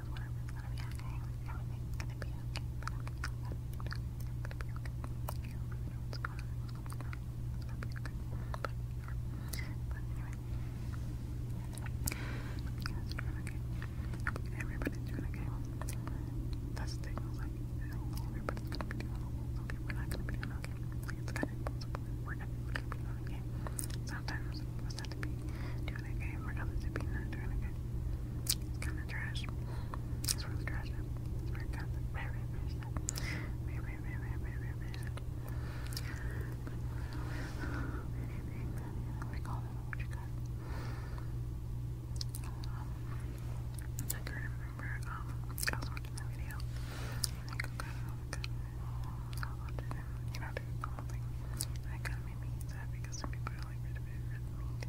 so everything's gonna be okay. Everything's gonna be okay. But anyway, everybody's doing okay. Everybody's doing okay. That's the thing. Like, everybody's gonna be doing okay. We're not gonna be doing okay. Like, it's kind of impossible. We're not gonna be doing okay. Sometimes for not to be doing that game, for others not doing that game. It's kind of trash. It's really trash. It's very kind of very, very, very sad. Very, very, very, very, call that what you got. Um, I can remember, um, I was watching the video. I think I got it, it. you know, I did the whole thing. And that because some people are like rid of it, rid of it.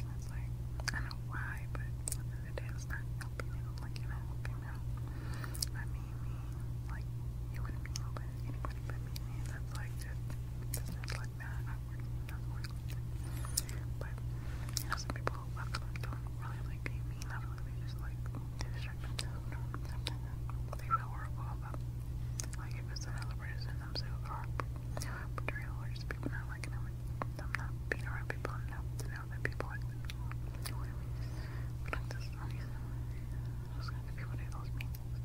And it's like, I don't know why, but at the end of the day, it's not helping you. Like, you're not helping me. I mean, me, like, you wouldn't be helping anybody but me. And that's like, just business like that. I'm working, not working. But, you know, some people love them, don't really like being mean. I feel like they just like, they distract themselves. They feel horrible about, like, if it's another person I'm so far. No portrayal or just people not liking them. I'm not being around people enough to know that people like them. You know what I mean? But like this obviously those kind of people do those meetings.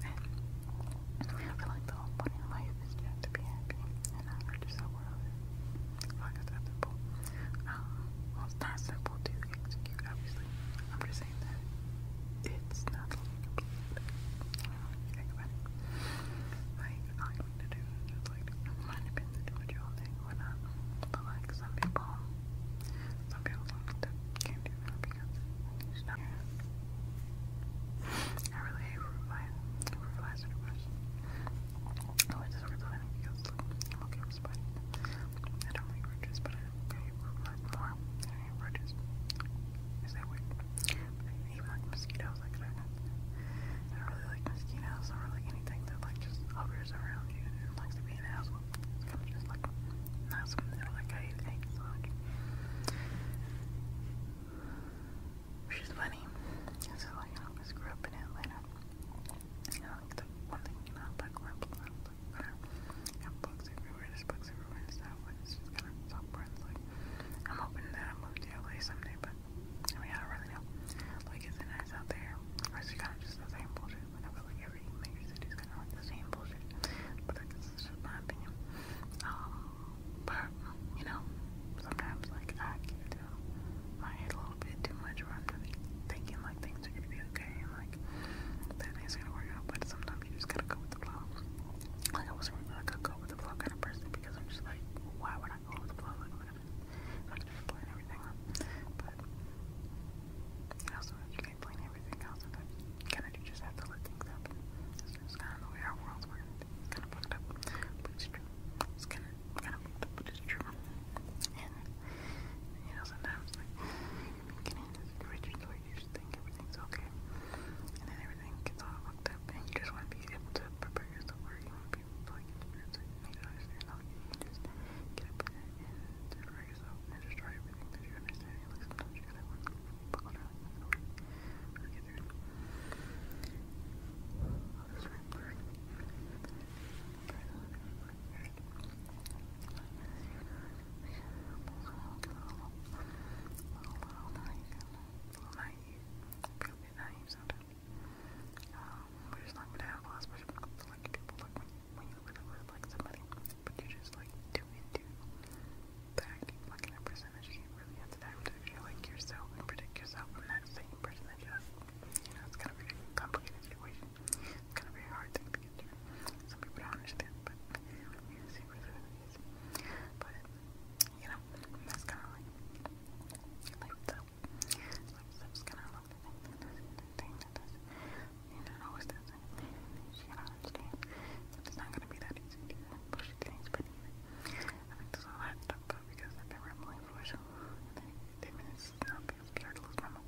And I feel like the whole point in life is just to be happy and not hurt yourself or others. Like I said, simple. Um well it's not simple to execute obviously. I'm just saying it's not like I mean to do like it might depend to do what you all or not. But like some people some people don't do that because I really hate supervisor depression. Oh, it's really because I'm okay with spiders. I don't like roaches, but I okay with like more. Aaron Rodgers. Is that weird? Even like mosquitoes like that. I don't really like mosquitoes. I don't really like anything that like just hovers around you and likes to be an asshole. It's kind of just like not something that like I hate so much. Which is funny. So like you know, I grew up in Atlanta. You know, like the one thing you know about growing up in I'm hoping that I'll move to LA someday, but I mean, I don't Like, is nice out there? Or is it just the same bullshit? Like, like every major city is kind of like the same bullshit. But like, just my opinion. Um, but, you know, sometimes, like, I give it a little bit too much where I'm thinking, like, things are gonna be okay okay, like that is gonna work out, but sometimes you just gotta go with the flow. Like I was like a go with the flow kind of person because I'm just like, why would I go with the flow? Like I'm just plan everything But you you can't plan everything out. Sometimes kinda do just have to let things happen. It's just kinda the way our world's working. kinda fucked up, it's kinda kinda it's true. And sometimes like can end up rich and you just think everything's okay. And then everything gets all fucked up and you just want to be able to prepare yourself or you want to be like it's like you understand how just get up and prepare yourself and just try everything that you understand. Like sometimes you gotta work buckle down get through we're just not gonna have a lot of like people like when you when you really like somebody, but you just like too into the acting like in person that you really have to dive into you like yourself and predict yourself from that same person that you You know, it's kind of complicated situation. It's kind of very hard thing to get Some people don't understand, but you see what But, you know, that's kind of like life stuff. Life stuff's kind of like the thing the thing that does You do always does it. You gotta understand it's not gonna be that easy to push things pretty I think there's a lot stuff, but because I've been rambling for so long, ten minutes, I'll to lose my mom.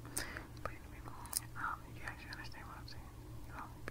But anyway, um, you guys should what I'm saying.